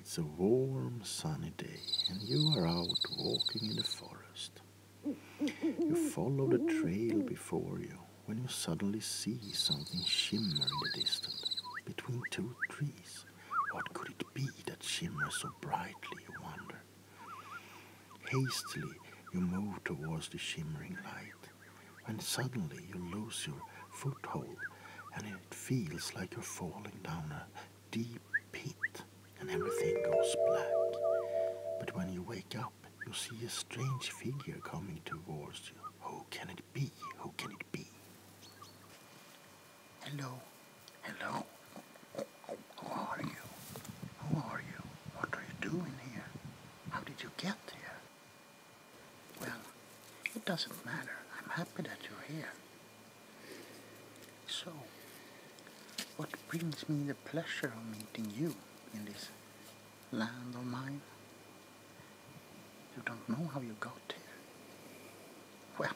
It's a warm, sunny day, and you are out walking in the forest. You follow the trail before you when you suddenly see something shimmer in the distance, between two trees. What could it be that shimmers so brightly, you wonder? Hastily you move towards the shimmering light, and suddenly you lose your foothold and it feels like you're falling down a deep pit and everything goes black. But when you wake up, you see a strange figure coming towards you. Who can it be? Who can it be? Hello, Hello? Who are you? Who are you? What are you doing here? How did you get here? Well, it doesn't matter. I'm happy that you're here. So, what brings me the pleasure of meeting you in this land of mine? You don't know how you got here. Well,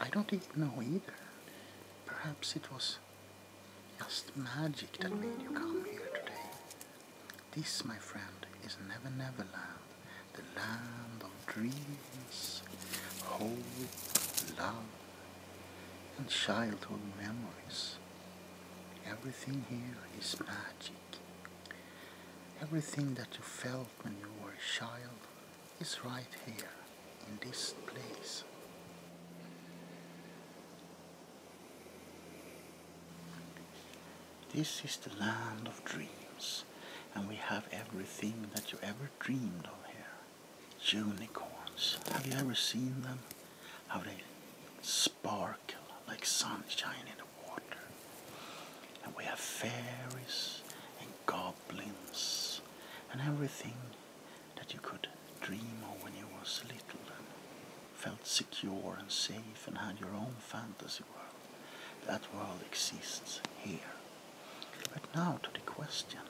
I don't even know either. Perhaps it was just magic that made you come here today. This, my friend, is Never Never Land, the land of dreams, hope, love, and childhood memories. Everything here is magic. Everything that you felt when you were a child is right here in this place. This is the land of dreams and we have everything that you ever dreamed of here. Unicorns. Have you ever seen them? How they sparkle like sunshine in the water. And we have fairies and goblins goblins and everything that you could dream of when you was little and felt secure and safe and had your own fantasy world. That world exists here. But now to the question,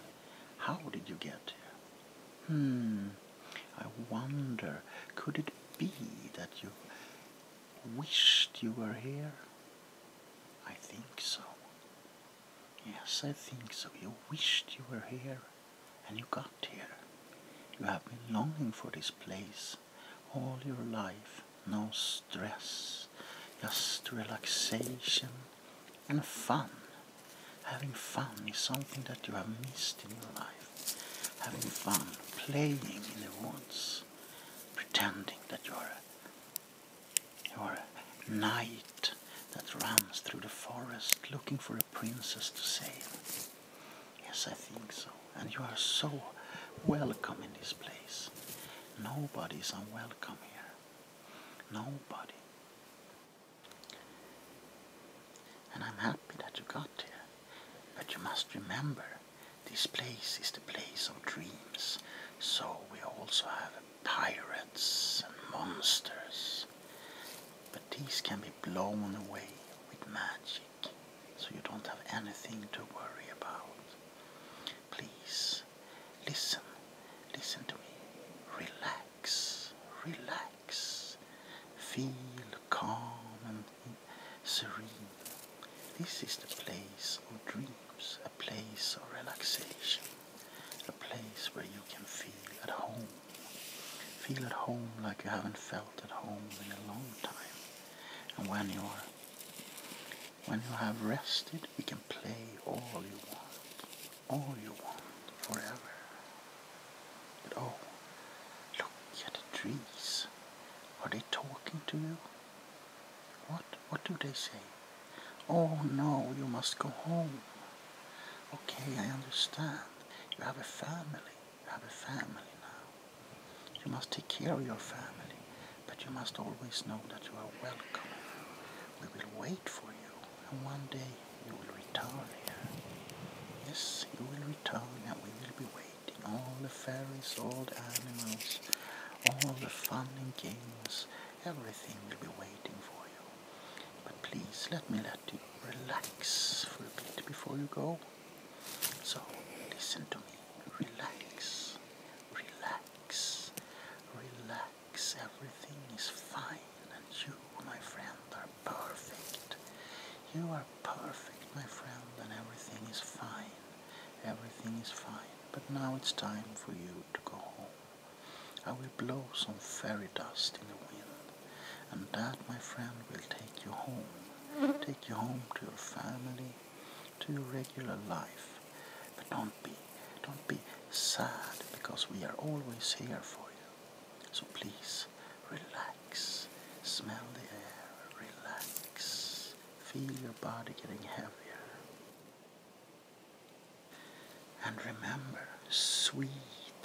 how did you get here? Hmm, I wonder, could it be that you wished you were here? I think so. Yes, I think so. You wished you were here, and you got here. You have been longing for this place all your life. No stress, just relaxation and fun. Having fun is something that you have missed in your life. Having fun, playing in the woods, pretending that you are you're a knight that runs through the forest looking for a princess to save. Yes, I think so. And you are so welcome in this place. Nobody is unwelcome here. Nobody. And I'm happy that you got here. But you must remember this place is the place of dreams, so we also have pirates and monsters. But these can be blown away with magic, so you don't have anything to worry about. Please, listen, listen to me. Relax, relax. Feel calm and serene. This is the place of dreams, a place of relaxation, a place where you can feel at home. Feel at home like you haven't felt at home in a long time. And when you are when you have rested, you can play all you want, all you want, forever. But oh, look at the trees. Are they talking to you? What? What do they say? Oh no, you must go home. Okay, I understand. You have a family. You have a family now. You must take care of your family, but you must always know that you are welcome. We will wait for you, and one day you will return here. Yes, you will return, and we will be waiting celebrating all the fairies, all the animals, all the fun and games. Everything will be waiting for you. But please let me let you relax for a bit before you go. So listen to me. Relax. Relax. Relax. Everything is fine. And you, my friend, are perfect. You are perfect, my friend, and everything is fine. Everything is fine. But now it's time for you to go home. I will blow some fairy dust in the wind, and that, my friend, will take you home. Take you home to your family, to your regular life. But don't be, don't be sad, because we are always here for you. So please, relax. Smell the air, relax. Feel your body getting heavier. And remember, sweet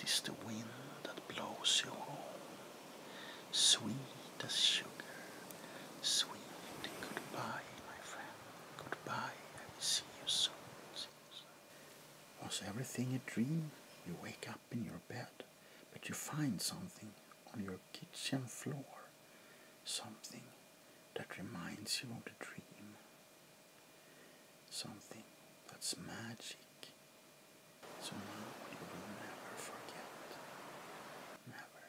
is the wind that blows you home. Sweet as sugar. Sweet goodbye, my friend. Goodbye, I will see you soon. Was everything a dream? You wake up in your bed but you find something on your kitchen floor, something that reminds you of the dream, something that's magic. So now you will never forget. Never.